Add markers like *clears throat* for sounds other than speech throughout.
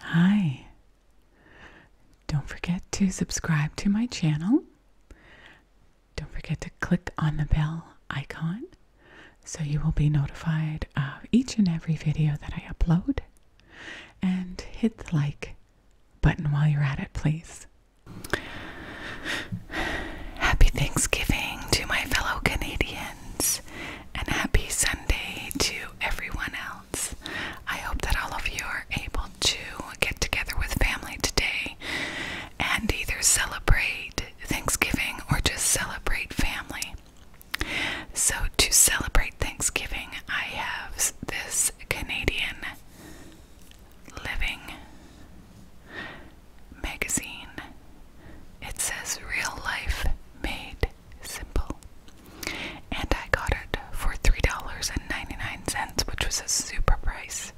Hi. Don't forget to subscribe to my channel. Don't forget to click on the bell icon so you will be notified of each and every video that I upload. And hit the like button while you're at it, please. Happy Thanksgiving to my fellow Canadians, and happy Sunday to everyone else. I hope that all of you are able to get together with family today and either celebrate Thanksgiving or just celebrate family. So, to celebrate Thanksgiving, I have this Canadian living magazine. It says Real Life Made simple. And I got it for $3.99, which was a super price.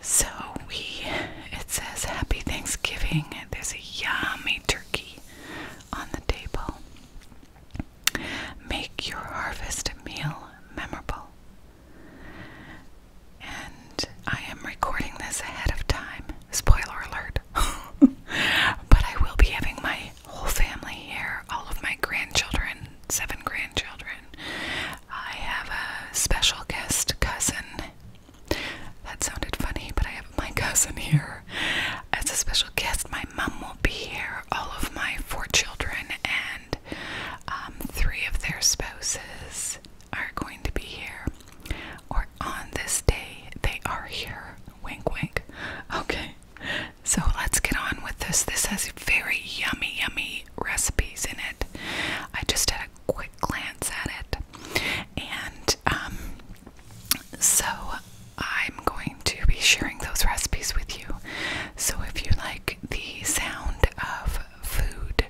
So we, it says Happy Thanksgiving. There's a yummy turkey on the table. Make your harvest meal memorable. And I am recording this ahead of time. Spoiler alert. *laughs* but I will be having my whole family here, all of my grandchildren, seven grandchildren. I have a special guest cousin. That sounded funny, but I have my *laughs* cousin here. As a special guest, my mom will be here, all of my four children, and um, three of their spouses are going to be here. Or on this day, they are here. Wink, wink. Okay, so let's get on with this. This has very yummy, yummy recipes in it. I just had a quick glance at it, and um, so I'm going to be sharing those recipes with you. So if you like the sound of food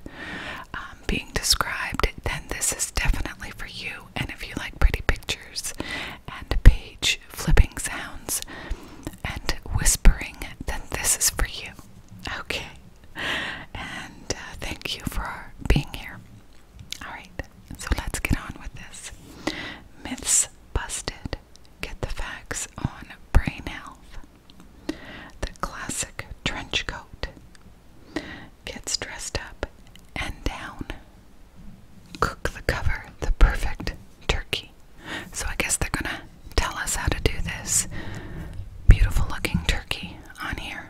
um, being described, then this is definitely for you and if you like pretty pictures and page flipping sounds and whispering, then this is for you. Okay. And uh, thank you for being here. All right. So let's get on with this. Myths busted. Get the facts on brain health. The classic trench coat gets dressed up and down cook the cover, the perfect turkey. So I guess they're gonna tell us how to do this beautiful looking turkey on here.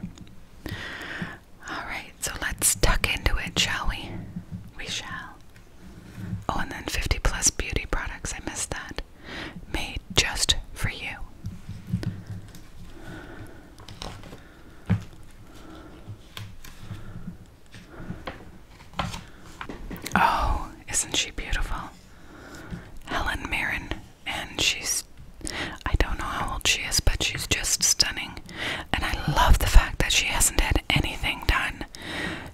Alright, so let's tuck into it, shall we? We shall. Oh, and then 50 plus beauty products, I missed that. Made just for you. Oh, isn't she beautiful? Helen Mirren, and she's I don't know how old she is, but she's just stunning. And I love the fact that she hasn't had anything done.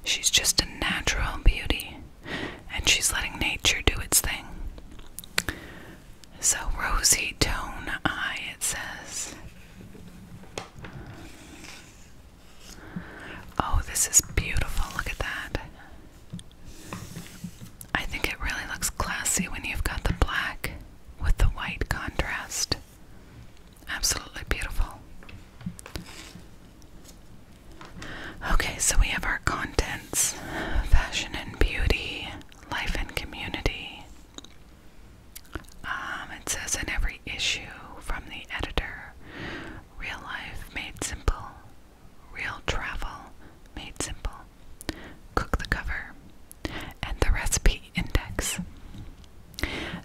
She's just a natural beauty, and she's letting nature do its thing. So, rosy tone eye, it says. Oh, this is beautiful. Look at that. I think it really looks classy when you've got the black with the white contrast. Absolutely beautiful. Okay, so we have our contents fashion and beauty, life and community, um, it says in every issue from the editor, real life made simple, real travel made simple. Cook the cover and the recipe index.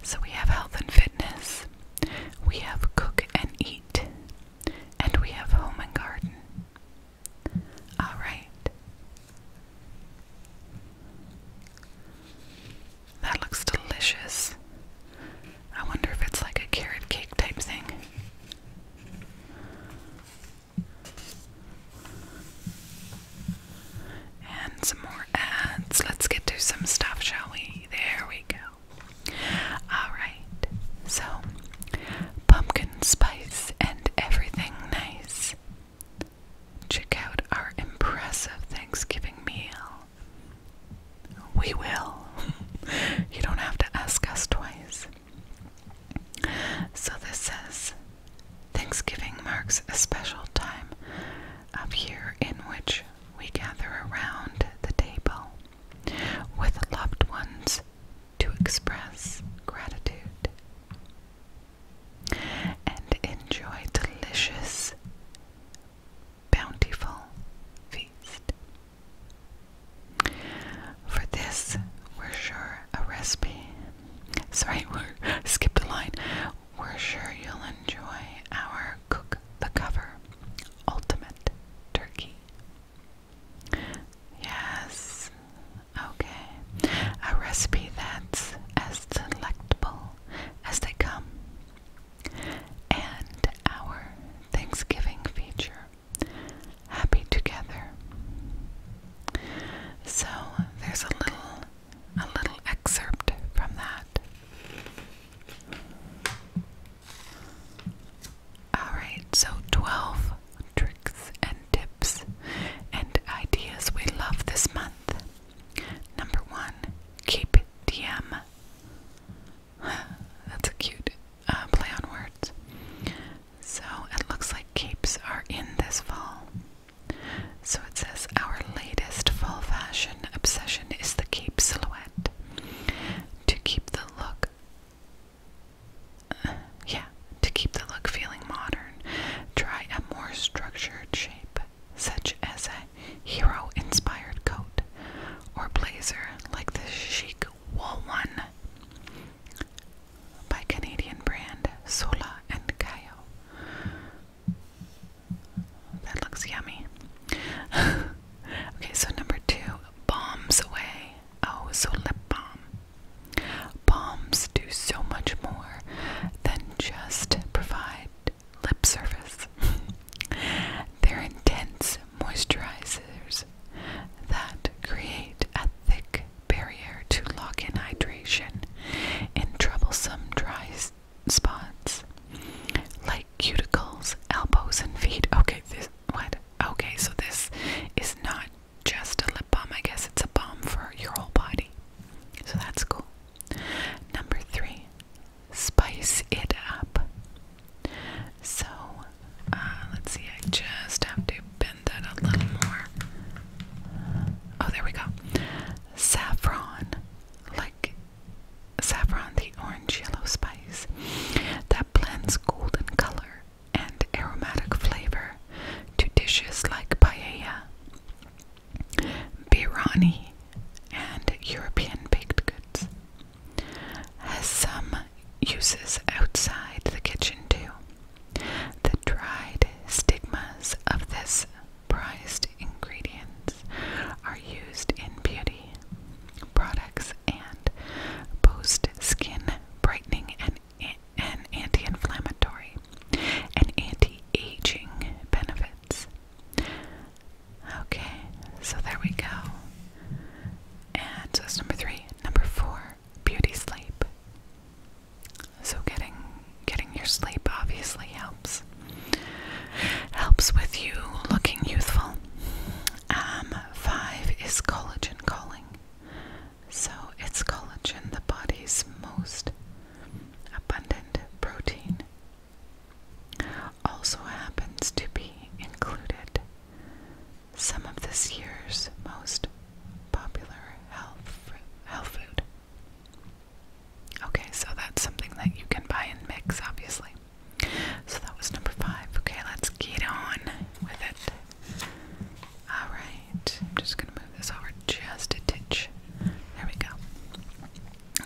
So we have health and fitness, we have cook and eat, and we have home and garden. All right, that looks delicious. I wonder if it's like a carrot cake type thing. And some more ads. Let's get to some stuff, shall we? There we go. Alright, so pumpkin spice and everything nice. Check out our impressive Thanksgiving meal. We will. *laughs* you don't have to ask us twice. So this says Thanksgiving marks a special time of year in which we gather around the table with loved ones to express gratitude and enjoy delicious, bountiful feast. For this, we're sure a recipe. *laughs* Sorry, we're *laughs* skipped a line. We're sure you'll enjoy our cook the cover ultimate turkey. Yes, Okay, a recipe that's as delectable as they come. And our Thanksgiving feature, Happy Together. So there's a little a little excerpt from that. Alright, so 12 tricks and tips and ideas we love this month. Number one, keep DM. *laughs* That's a cute uh, play on words. So it looks like capes are in this fall. So it says our latest fall fashion obsession is the cape silhouette. To keep the look, *laughs* yeah, to keep the look feeling modern, try a more structured shape, such as a hero inspired coat or blazer like the chic wool one by Canadian brand Sola and Cayo. That looks yummy. *laughs* okay, so number two, bombs away. Oh, so lip balm. Bombs do so much more than just provide lip service. *laughs* They're intense moisturizers that create a thick barrier to lock in hydration in troublesome dry spots like cuticles, elbows, and feet. Okay, this what? Okay, so this is not just a lip balm. I guess it's a balm for your whole body. So that's cool. Number three, spice it up. So uh, let's see, I just have to bend that a little more. Oh, there we go. Saffron, like saffron, the orange yellow spice that blends golden color and aromatic flavor to dishes like paella, Birani, and European baked goods. Has some uses outside the kitchen too. The dried stigmas of this prized ingredient are used in beauty products and post skin brightening and and anti-inflammatory and anti-aging benefits. Okay, so there we go. And so that's number three. Number four, beauty sleep. So getting getting your sleep obviously helps. Helps with you looking youthful. Um, five is collagen calling. So it's collagen, the body's most abundant protein also happens to be included some of this year's most popular health health food. Okay, so that's something that you can buy and mix, obviously. So that was number five. Okay, let's get on with it. Alright, I'm just gonna move this over just a titch. There we go.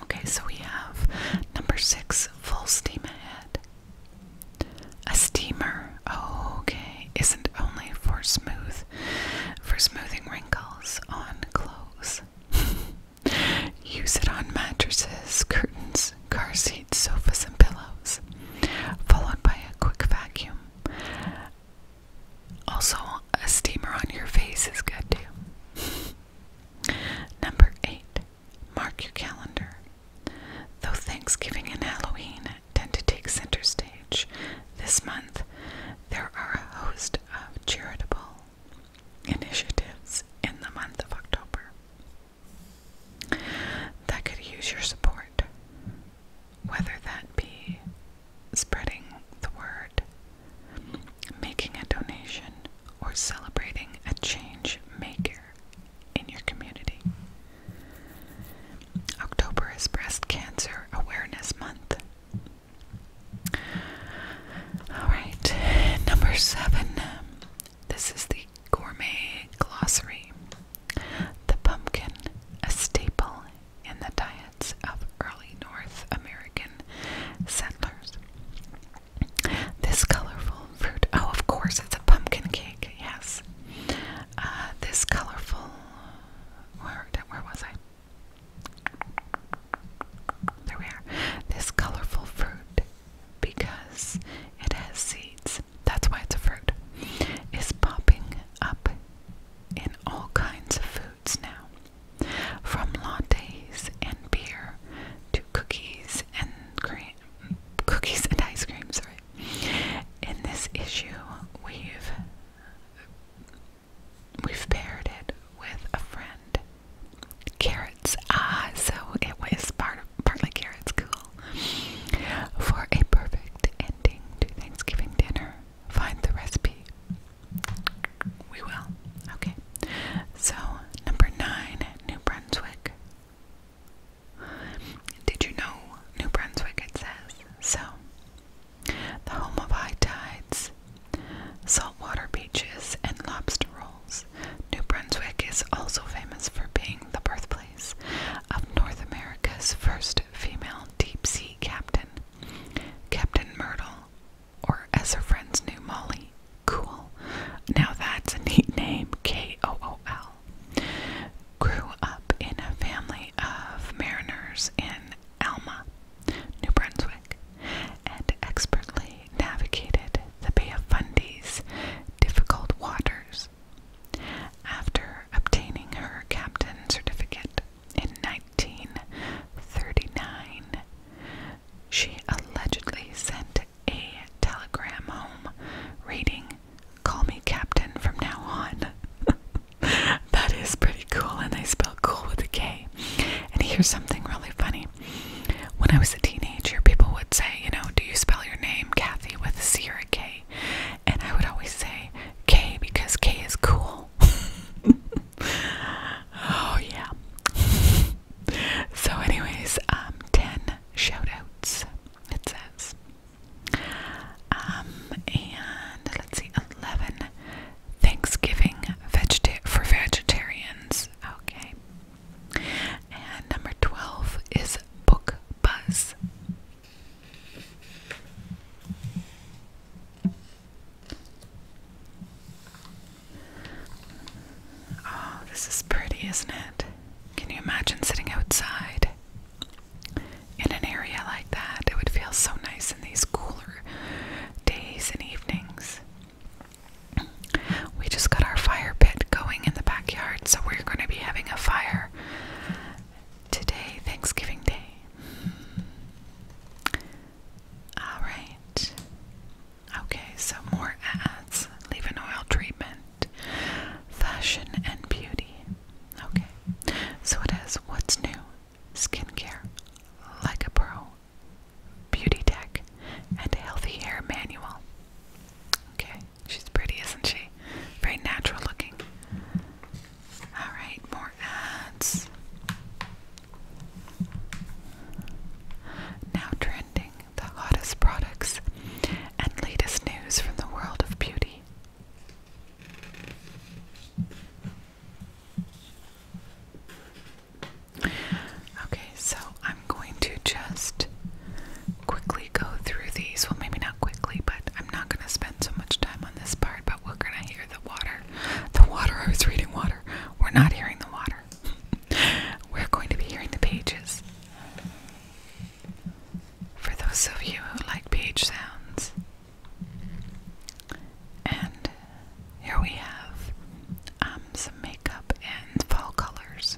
Okay, so we have number six, full steam ahead. A steamer, oh, okay, isn't only for smooth, for smoothing wrinkles on clothes. *laughs* Use it on mattresses, curtains, car seats, sofas, and pillows. Followed by a quick vacuum. Also, a steamer on your face is good too. *laughs* Number eight, mark your calendar. Though Thanksgiving and Halloween tend to take center stage this month, there are a host of charitable initiatives in the month of October that could use your support whether that be spreading the word, making a donation, or celebrating a change maker in your community. October is Breast Cancer Awareness Month. Alright, number seven. This is the Gourmet Glossary. The pumpkin, a staple in the diets of early North American settlers. This colorful fruit, oh, of course, it's a pumpkin cake, yes. Uh, this colorful, where was I? There we are. This colorful fruit, because it has seeds, that's why it's a fruit, is popping up in all kinds of foods now, from lattes and beer to cookies and cookies and ice cream. Sorry. In this issue, we've we've paired it with a friend. Carrots. Ah, so it was part of, partly carrots. Cool. For a perfect ending to Thanksgiving dinner find the recipe. We will. Okay. So, number nine, New Brunswick. Did you know New Brunswick? says so. The home of high tides, saltwater beaches, and lobster rolls. New Brunswick is also famous for being the birthplace of North America's first female deep sea captain, Captain Myrtle, or as her friends knew, Molly. Cool. Now that's a neat name, K O O L. Grew up in a family of mariners in Alma, New Brunswick, and expertly navigated the Bay of Fundy's difficult waters. After obtaining her captain certificate, in 1939. She allegedly sent a telegram home reading, Call me Captain from now on. *laughs* that is pretty cool, and they spell cool with a K. And here's something really funny. When I was a teenager, people would say, You know, do you spell your name Kathy with a C or a K? And I would always say K because K is cool. *laughs* oh, yeah. *laughs* So, anyways, um, 10 shout outs, it says. Um, and let's see, 11 Thanksgiving vegeta for vegetarians. Okay. And number 12 is Book Buzz. Oh, this is pretty, isn't it? Can you imagine sitting outside in an area like that? It would feel so nice in these cooler days and evenings. We just got our fire pit going in the backyard, so we're going to be having a fire today, Thanksgiving Day. All right. Okay, so more ads. Leave in oil treatment, fashion and beauty. Okay, so it has what's new, skincare, like a pro, beauty tech, and a healthy hair manual. Okay, she's pretty, isn't she? Very natural looking. Alright, more ads. Now trending the hottest products and latest news from the world of beauty. Okay, so I'm going to just quickly go through these. Well, maybe not quickly, but I'm I'm not gonna spend so much time on this part, but we're gonna hear the water. The water, I was reading water. We're not hearing the water. *laughs* we're going to be hearing the pages. For those of you who like page sounds. And here we have um, some makeup and fall colors.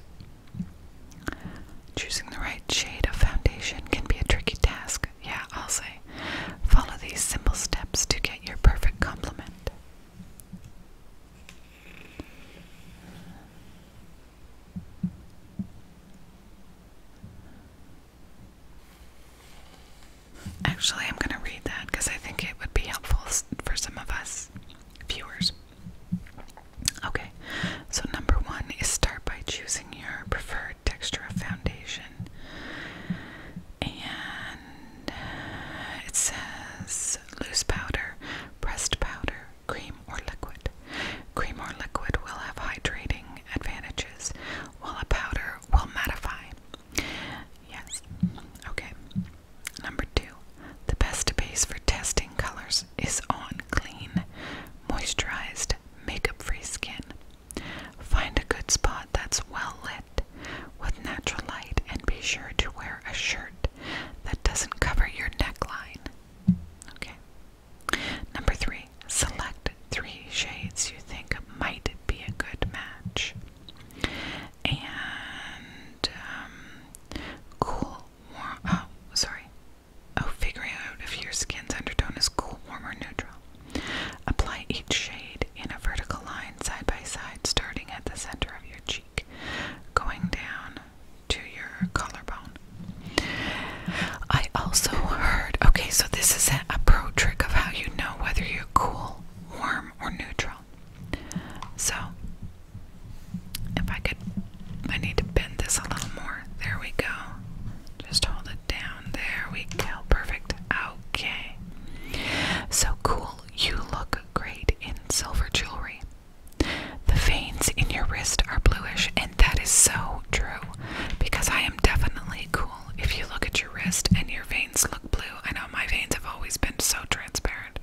Choosing the right shade of foundation can be a tricky task, yeah, I'll say. Follow these simple steps to get your perfect compliment. Actually, I'm going to read that because I think it would be helpful for some of us viewers. Okay, so number one is start by choosing your preferred texture of foundation. And uh, it says loose powder, pressed powder, cream or liquid. Cream or liquid will have hydrating advantages, while a powder will mattify. Yes. Okay. Number two, the best base for testing colors is on clean, moisturized, makeup free skin. Find a good spot that's well lit with natural light and be sure to wear a shirt that doesn't cover your neckline. Okay. Number three, select three shades you think might be a good match. And um, cool, warm, oh, sorry, Oh, figuring out if your skin's undertone is cool, warm, or neutral. Apply each shade in a vertical line side by side, starting at the center of your cheek, going down to your collarbone. I also heard okay, so this is a pro trick of how you know whether you're cool, warm, or neutral. So, if I could, I need to bend this a little more. There we go. Just hold it down. There we go. Perfect. Okay. So cool. You look great in silver jewelry. The veins in your wrist are bluish, and that is so true because I am definitely cool. If you look at your wrist and your veins look blue, I know my veins have always been so transparent.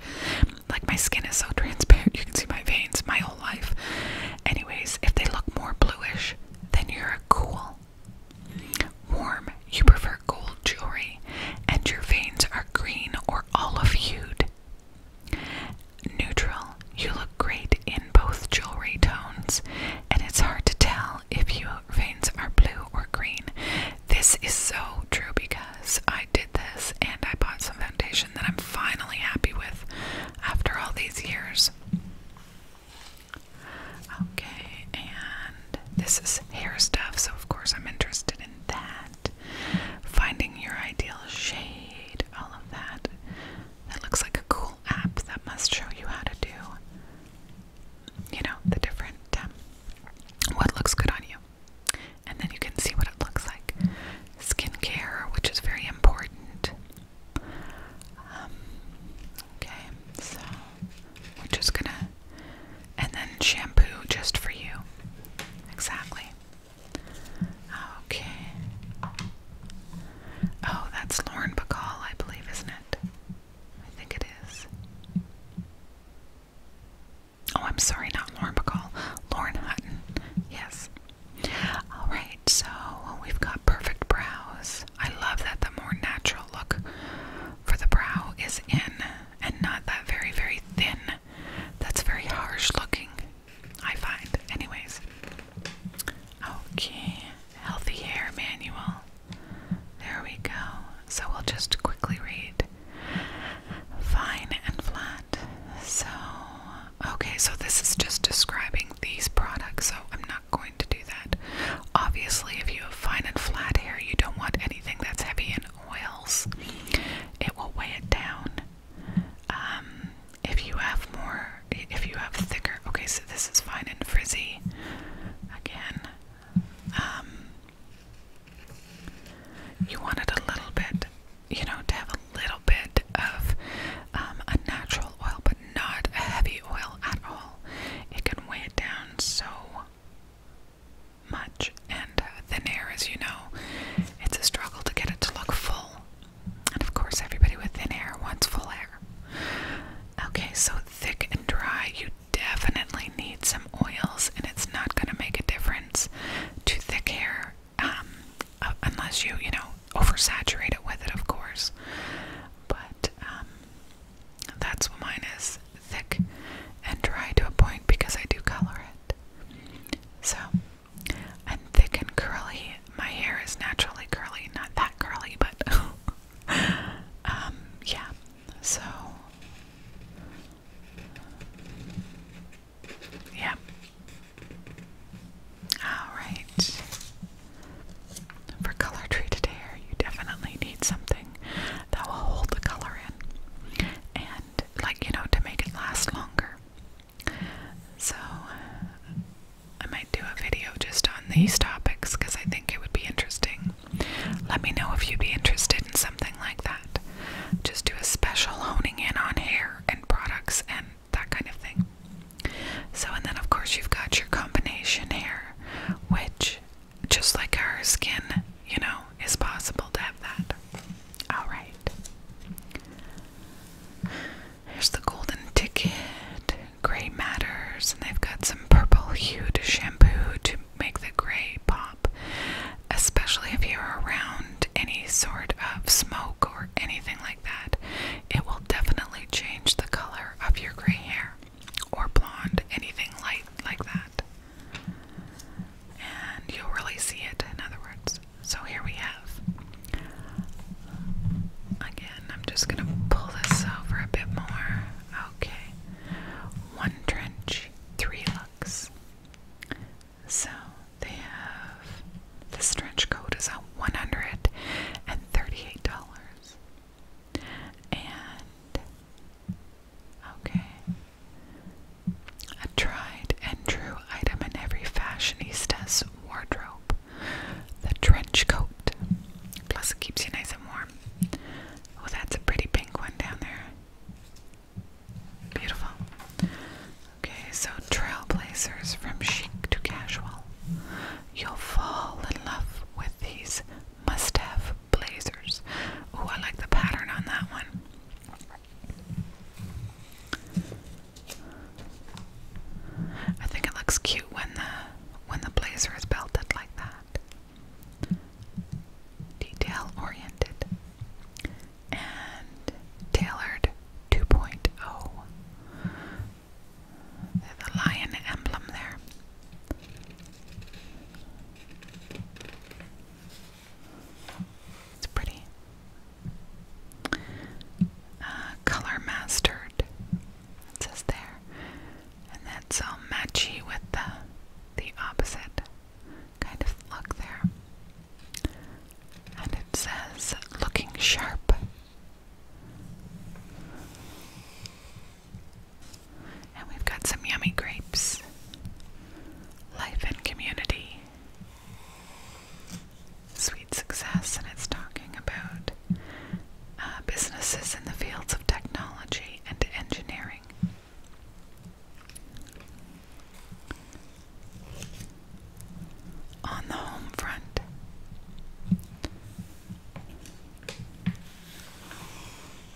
Like my skin is so *laughs* transparent, you can see my veins my whole life. Anyways, if they look more bluish, then you're cool. Warm, you prefer gold jewelry, and your veins are green or olive hued. Neutral, you look great in both jewelry tones, and it's hard to tell if your veins are blue or green. This is so true because I did this and I bought some foundation that I'm finally happy with after all these years. Okay, and this is hair stuff, so of course I'm interested in that. Finding your ideal shade, all of that. That looks like a cool app that must show you how to do, you know, the different, um, what looks good on you. And then you can see what it looks like. Skincare, which is very important. Um, okay, so we're just gonna, and then shampoo just for you. Exactly. Okay. Oh, that's Lauren Bacall, I believe, isn't it? I think it is. Oh, I'm sorry, not Lauren Bacall. Lauren Hutton. Yes. Alright, so we've got perfect brows. I love that the more natural look for the brow is in and not that very, very thin. That's very harsh looking, I find. Anyways. Okay, healthy hair manual. There we go. So we'll just quickly read fine and flat. So, okay, so this is just describing these products, so I'm not going to do that. Obviously, if you have fine and flat hair, you don't want anything that's heavy in oils. It will weigh it down. Um, if you have more, if you have thicker, okay, so this is fine and frizzy again. Um, you want it a little bit, you know, to have a little bit of um, a natural oil, but not a heavy oil at all. It can weigh it down so much, and uh, thin hair, as you know, it's a struggle to get it to look full. And of course, everybody with thin hair wants full hair. Okay, so thick and dry, you definitely need some oils, and it's not going to make a difference to thick hair. Um, unless you, you know, oversaturate it with it, of course. But um, that's what mine is thick and dry to a point because I do color it. So, and thick and curly. My hair is naturally curly, not that curly, but *laughs* um, yeah. So, yeah, Alright. For color treated hair, you definitely need something that will hold the color in and, like, you know, to make it last longer. So, I might do a video just on these topics because I think it would be interesting. Let me know if you'd be interested in something like that. Just do a special honing in on hair and products and that kind of thing. So, and then of course, you've got your combination hair, which, just like our skin, you know, is possible to have that. Alright. Here's the golden ticket, gray matters, and they've got some purple hued shampoo to make the gray pop, especially if you're around any sort of smoke or anything like that, it will definitely change the color of your gray hair or blonde, anything light like that. And you'll really see it, in other words. So here we have. Again, I'm just going to pull this over a bit more. Okay. One trench, three looks. So they have this trench coat is at $138. And okay. A tried and true item in every fashionista's wardrobe. The trench coat. Plus it keeps you nice and warm. Oh, that's a pretty pink one down there. Beautiful. Okay, so trailblazers from chic to casual you'll fall in love with these must have blazers. Oh, I like the pattern on that one. I think it looks cute when the when the blazer is belted like that. Detail oriented and tailored 2.0. There's a lion emblem there. It's pretty. Uh, color mastered. It says there. And that's all matchy with the the opposite kind of look there. And it says looking sharp and we've got some yummy grapes. Life and community. Sweet success, and it's talking about uh, businesses in the fields of technology and engineering on the home front.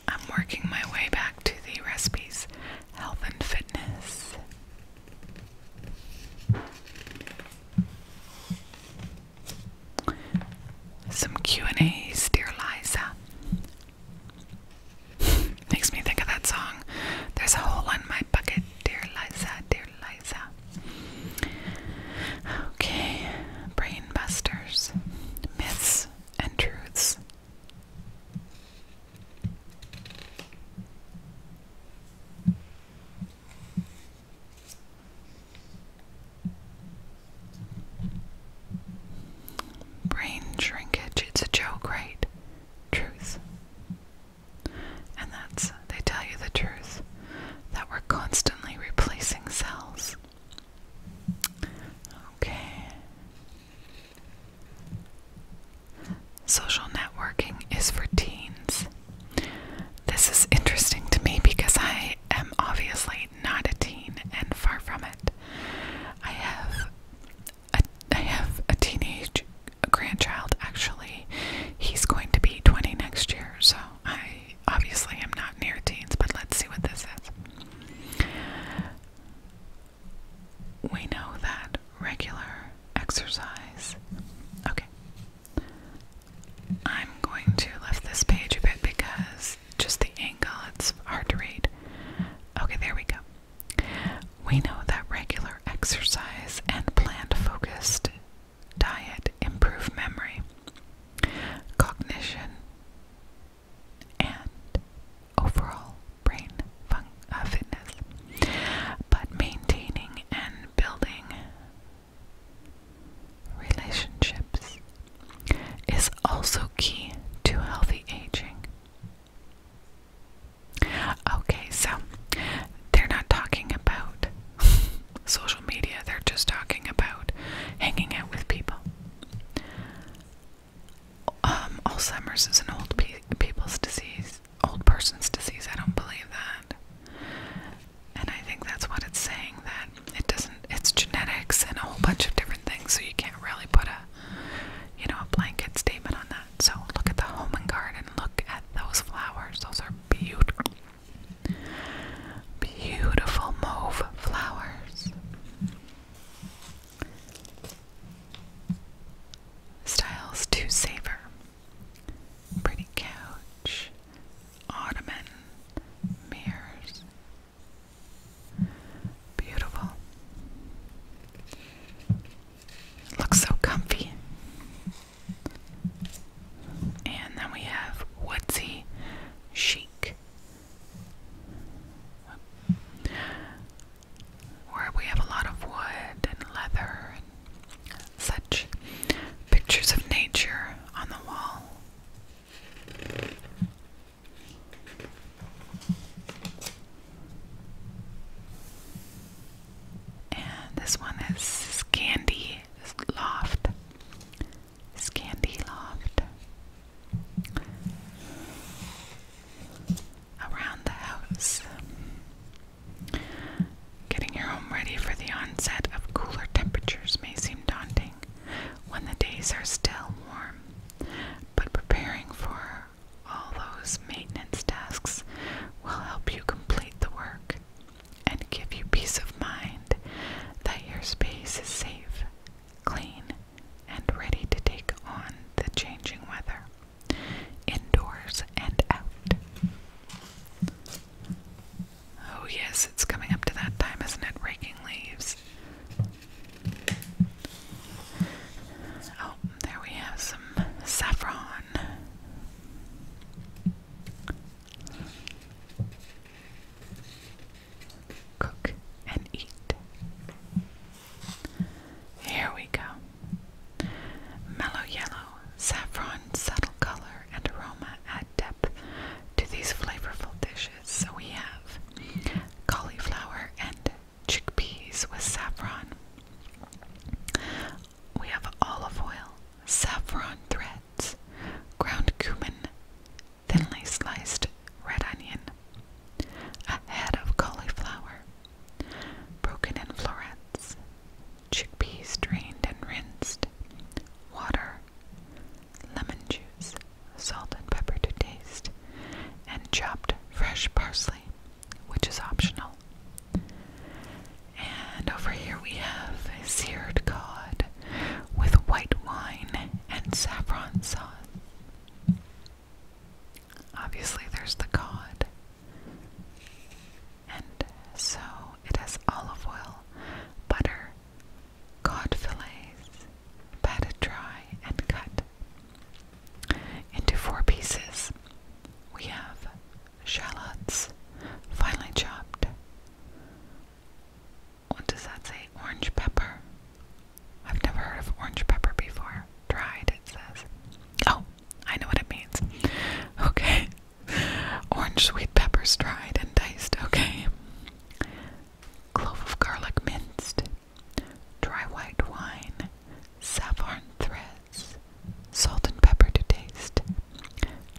I'm working my way back to the recipes, health and fitness. Some Q&As, dear Liza. *laughs* Makes me think of that song. There's a hole in my bucket, dear Liza, dear Liza. Okay, brain busters, myths and truths. Brain shrinkage, it's a joke, right? Truth. And that's, they tell you the truth, that we're constantly replacing cells. Okay. Social networking is for teens. This is interesting to me because I am obviously not a teen and far from it. I have a, I have a teenage grandchild actually. He's going to be 20 next year, so I obviously am not near teens, but let's see what this is. We know that regular exercise. Okay. I'm going to lift this page a bit because just the angle, it's hard to read. Okay, there we go. We know that regular exercise and planned focused diet, improve memory, cognition, and overall brain fun uh, fitness. But maintaining and building relationships is also key to healthy aging. Okay, so they're not talking about *laughs* social media, they're just talking about hanging out with people. Um, Alzheimer's is an old people's disease, old person's disease. I don't believe that. And I think that's what it's saying that it doesn't, it's genetics and a whole bunch of different things, so you can't really put a, you know, a blanket statement on that. So look at the home and garden, look at those flowers. Those are beautiful. Beautiful mauve flowers. Styles to savor. Pretty couch, ottoman, mirrors. Beautiful. looks so comfy. And then we have Woodsy Chic. Where we have a lot of wood and leather and such pictures of nature on the wall. And this one is Scandy Loft. Scandy Loft. Around the house. Getting your home ready for the onset of cooler temperatures may seem daunting when the days are still warm, but preparing for all those maintenance tasks will help you complete the work and give you peace of mind that your space is safe, clean, and ready to take on the changing weather, indoors and out. Oh, yes, it's coming up to that time, isn't it? Raking leaves. Oh, there we have some saffron Cook and eat. Here we go. Mellow yellow, saffron, subtle color and aroma add depth to these flavorful dishes. So we have cauliflower and chickpeas with saffron, we have olive oil, saffron threads, ground cumin, thinly sliced red onion, a head of cauliflower, broken in florets, chickpeas drained and rinsed, water, lemon juice, salt and pepper to taste, and chopped fresh parsley, which is optional. And over here we have seared cod with white wine and saffron sauce. Obviously, there's the cod. And so it has olive oil, butter, cod fillets, patted dry and cut into four pieces. We have shallots, finely chopped. What does that say? Orange pepper. I've never heard of orange pepper before. Dried, it says. Oh, I know what it means. *laughs* Okay. Orange sweet peppers dried and diced. Okay. Clove of garlic minced. Dry white wine. Saffron thread. Salt and pepper to taste.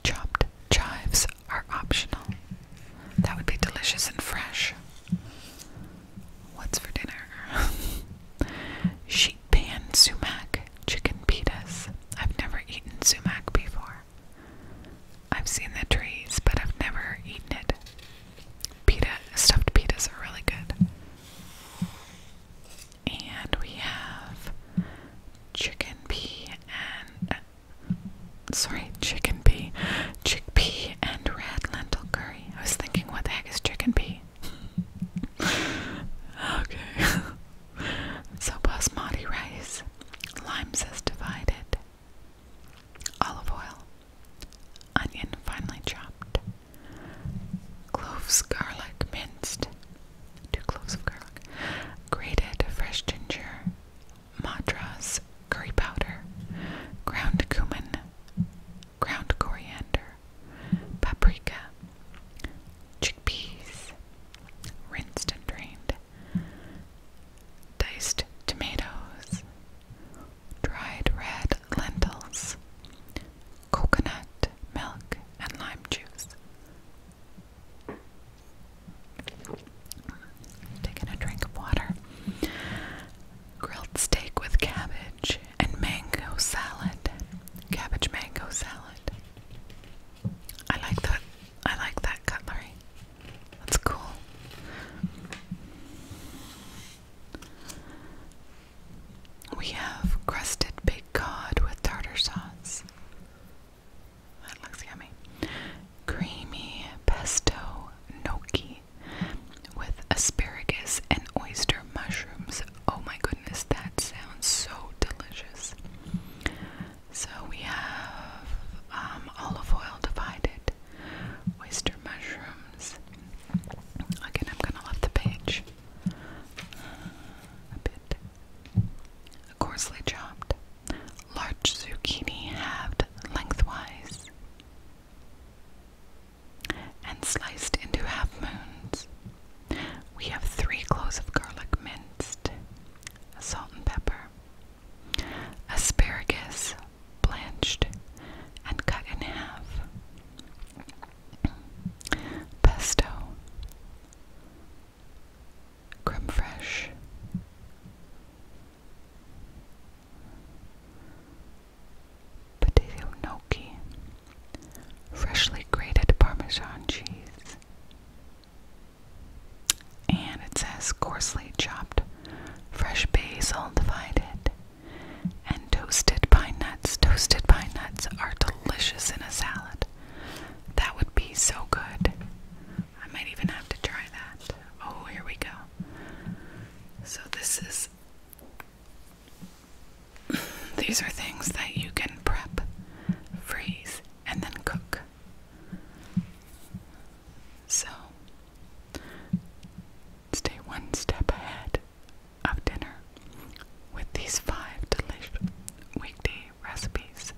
Chopped chives are optional. That would be delicious and fresh. What's for dinner? *laughs* Sheet pan sumac chicken pitas. I've never eaten sumac before. I've seen the trees, but I've never eaten it. Pita stuffed pitas are really good. And we have chicken pea and sorry, chicken pea, chickpea and red lentil curry. I was thinking, what the heck is chicken pea? *laughs* okay. *laughs* so basmati rice, lime says divided, olive oil, onion finely chopped, cloves, garlic minced, two cloves of garlic, grated fresh ginger, madras, curry powder, ground cumin, ground coriander, paprika, chickpeas, rinsed and drained, diced tomatoes, dried red lentils, coconut milk, and lime juice. Taking a drink of water. Grilled steak with cabbage and mango salad. Cabbage mango salad. I like that. I like that cutlery. That's cool. We have crusted bacon my god, with tartar sauce. That looks yummy. Creamy pesto gnocchi with asparagus and oyster mushrooms. Oh my goodness, that sounds so delicious. So we have um, olive oil divided, oyster mushrooms. Again, I'm gonna love the page a bit coarsely chopped, large zucchini halved lengthwise, and sliced into half moons. We have three cloves of garlic minced, salt and pepper, asparagus blanched and cut in half, pesto, creme fraiche. Potato gnocchi, freshly grated Parmesan cheese, and it says coarsely chopped fresh basil divided and toasted pine nuts. Toasted pine nuts are delicious in a salad that. would be so good. I might even have to try that. Oh, here we go. So, this is. *clears throat* These are things that you can prep, freeze, and then cook. So, stay one step ahead of dinner with these five delicious weekday recipes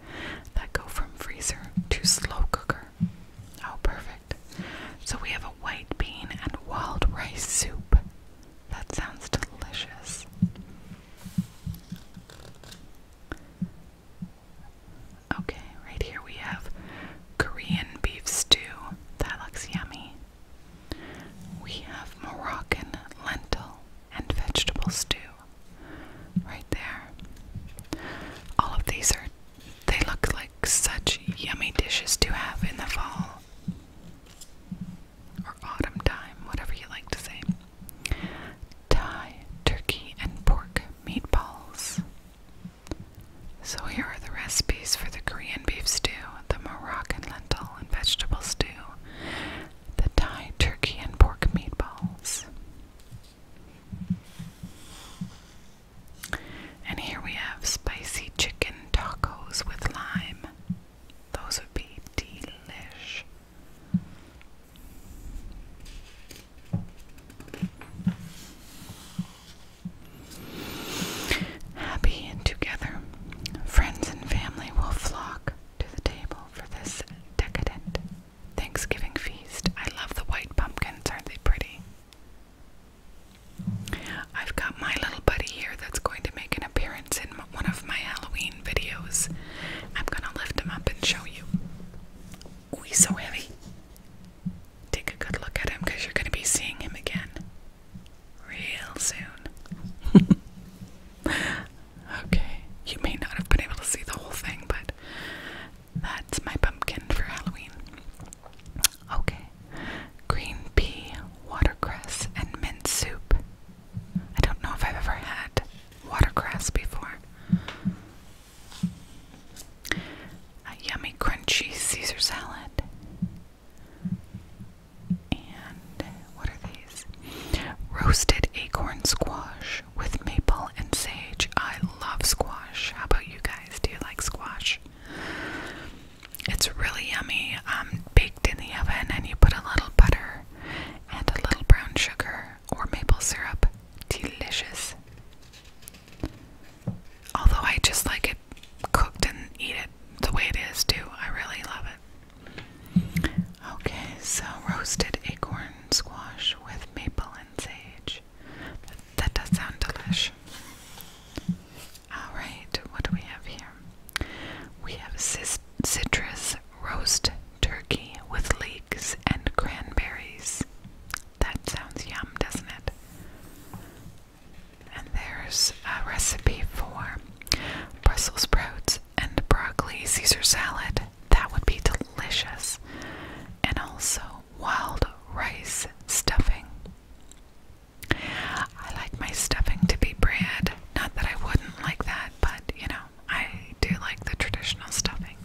that go from freezer to slow cooker. Oh, perfect. So we have a white bean and wild rice soup. That sounds delicious. Okay, right here we have Korean beef stew. That looks yummy. We have Moroccan lentil and vegetable stew right there. All of these are, they look like such yummy dishes to have in the fall or autumn time, whatever you like to say. Thai, turkey, and pork meatballs. So here are the recipes for the Korean beef stew, the Moroccan lentil and vegetable stew, the Thai turkey and pork meatballs. And here we have spicy chicken tacos with lime. Those would be delish. Happy and together, friends and family will flock to the table for this decadent Thanksgiving feast. I love the white pumpkins, aren't they pretty? I've got my little buddy here that's going to make an appearance in one of my Halloween videos. I'm gonna lift him up and show you. Oh, he's so heavy. Take a good look at him because you're gonna be seeing him again real soon. *laughs* *laughs* okay, you may not have been able to see the whole thing, but that's my pumpkin for Halloween. Okay, green pea, watercress, and mint soup. I don't know if I've ever had watercress before. A yummy, crunchy Caesar salad. And what are these? Roasted acorn squash with maple and sage. I love squash. How about you guys? Do you like squash? It's really yummy. Um, baked in the oven, and you put a little butter and a little brown sugar or maple syrup. Delicious. Although I just like it cooked and eat it the way it is too. I really love it. Okay, so roasted acorn squash with maple and sage. That, does sound delicious. Alright, what do we have here? We have citrus roast turkey with leeks and cranberries. That sounds yum, doesn't it? And there's a recipe for Brussels sprouts, and broccoli Caesar salad. That would be delicious. And also wild rice stuffing. I like my stuffing to be bread. Not that I wouldn't like that, but you know, I do like the traditional stuffing.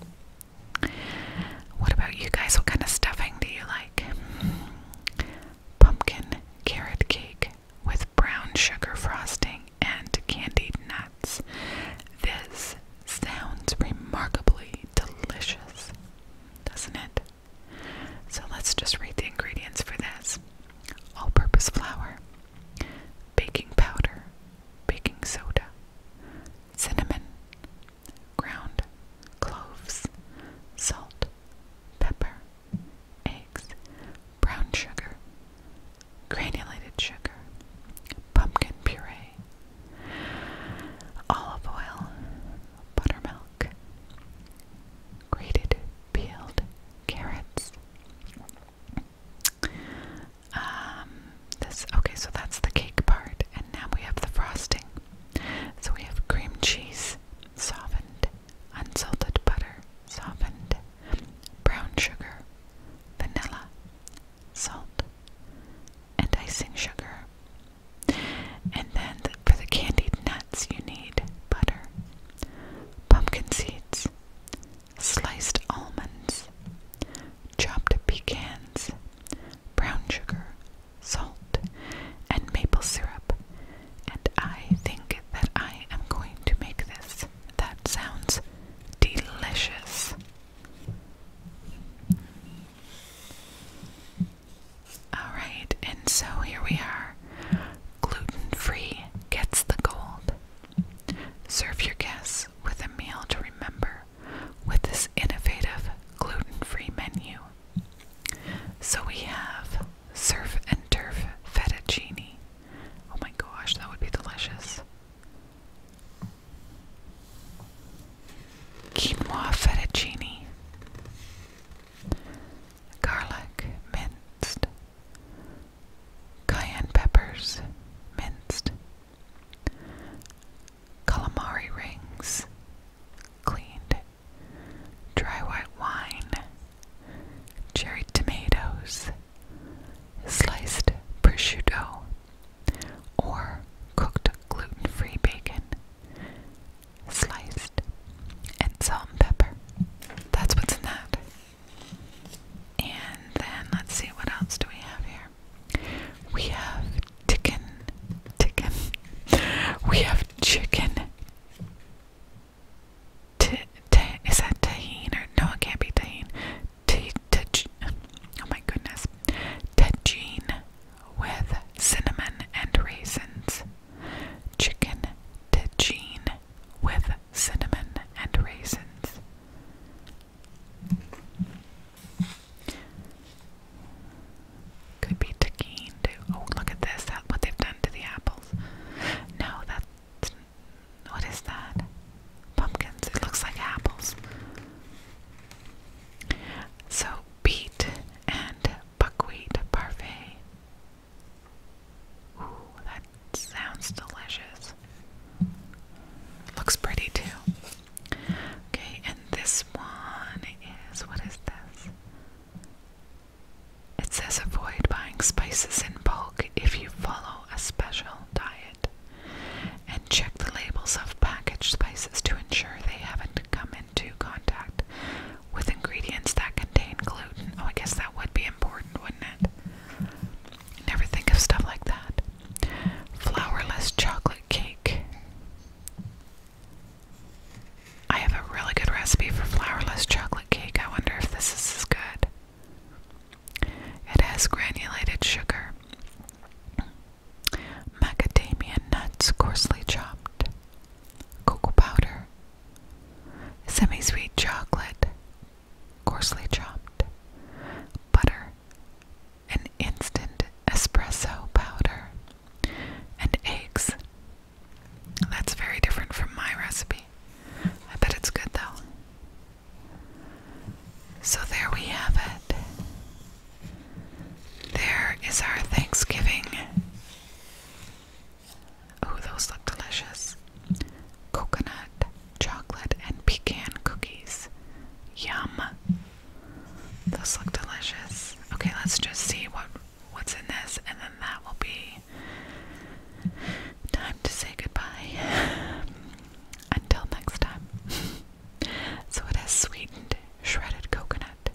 What about you guys? What kind of stuffing do you like? Pumpkin carrot cake with brown sugar frosting and candied nuts. This sounds remarkably delicious, doesn't it? So let's just read the ingredients for this all purpose flour, baking powder, baking soda, cinnamon, ground cloves, salt, pepper, eggs, brown sugar, granulated sugar, pumpkin puree, olive oil, buttermilk, grated peeled carrots. Um, this okay, so that's the cake part, and now we have the frosting. So we have cream cheese, softened, unsalted butter, softened, brown sugar, vanilla, salt, and icing sugar. And then for the candied nuts, you need butter, pumpkin seeds, sliced almonds, chopped pecans, brown sugar, salt, and maple syrup and I think that I am going to make this. That sounds delicious. Alright, and so here we are. Gluten free gets the gold. Serve your guests with a meal to remember with this innovative gluten free menu. So we have Surf and turf fettuccine. Oh my gosh, that would be delicious. Quinoa fettuccine. Garlic minced. Cayenne peppers minced. Calamari rings cleaned. Dry white wine cherry tomatoes, sliced prosciutto, or cooked gluten free bacon, sliced, and salt and pepper. That's what's in that. And then let's see what else do we have here. We have chicken, chicken. *laughs* We have chicken is that tahine or no? It can't be tahine. T oh my goodness, tajine with cinnamon and raisins. Chicken tajine with cinnamon and raisins. Could be tahine Oh, look at this! what they've done to the apples. No, that what is that? Pumpkins. It looks like apples. So, beet and buckwheat parfait. Ooh, that sounds delicious. Looks pretty too. Okay, and this one is what is this? It says avoid buying spices in bulk if you follow a special diet and check the labels of packaged spices to ensure they haven't come into contact with ingredients that contain gluten. Oh, I guess that would be important, wouldn't it? Never think of stuff like that. Flourless chocolate cake. I have a really good recipe for flourless chocolate cake. I wonder if this is as good. It has granulated sugar, macadamia nuts coarsely chopped, cocoa powder, semi sweet chocolate coarsely chopped, butter, an instant espresso powder, and eggs that's very different from my recipe. I bet it's good though. So there we have it. There is our Thanksgiving. Oh, those look delicious. Coconut, chocolate, and pecan cookies. Yum. Those look delicious. Okay, let's just see what what's in this, and then that will be time to say goodbye. *laughs* Until next time. *laughs* so it has sweetened shredded coconut,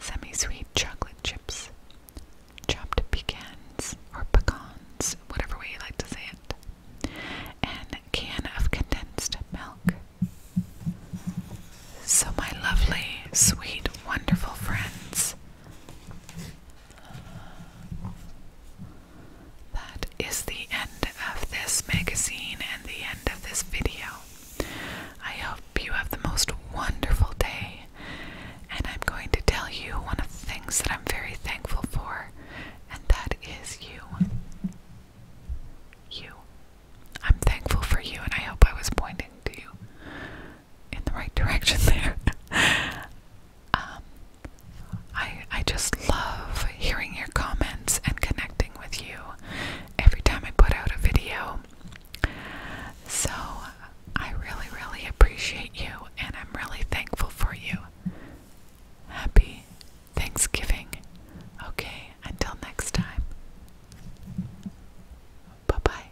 semi sweet chocolate chips, chopped pecans or pecans, whatever way you like to say it, and a can of condensed milk. So, my lovely, sweet, wonderful friends, that is the end of this magazine and the end of this video. I hope you have the most wonderful day, and I'm going to tell you one of the things that I'm very thankful for, and that is you. You. I'm thankful for you, and I hope I was pointing to you in the right direction there. *laughs* um, I I just love hearing your comments and connecting with you every time I put out a video. So I really really appreciate you and I'm really thankful for you. Happy Thanksgiving. Okay, until next time. Bye bye.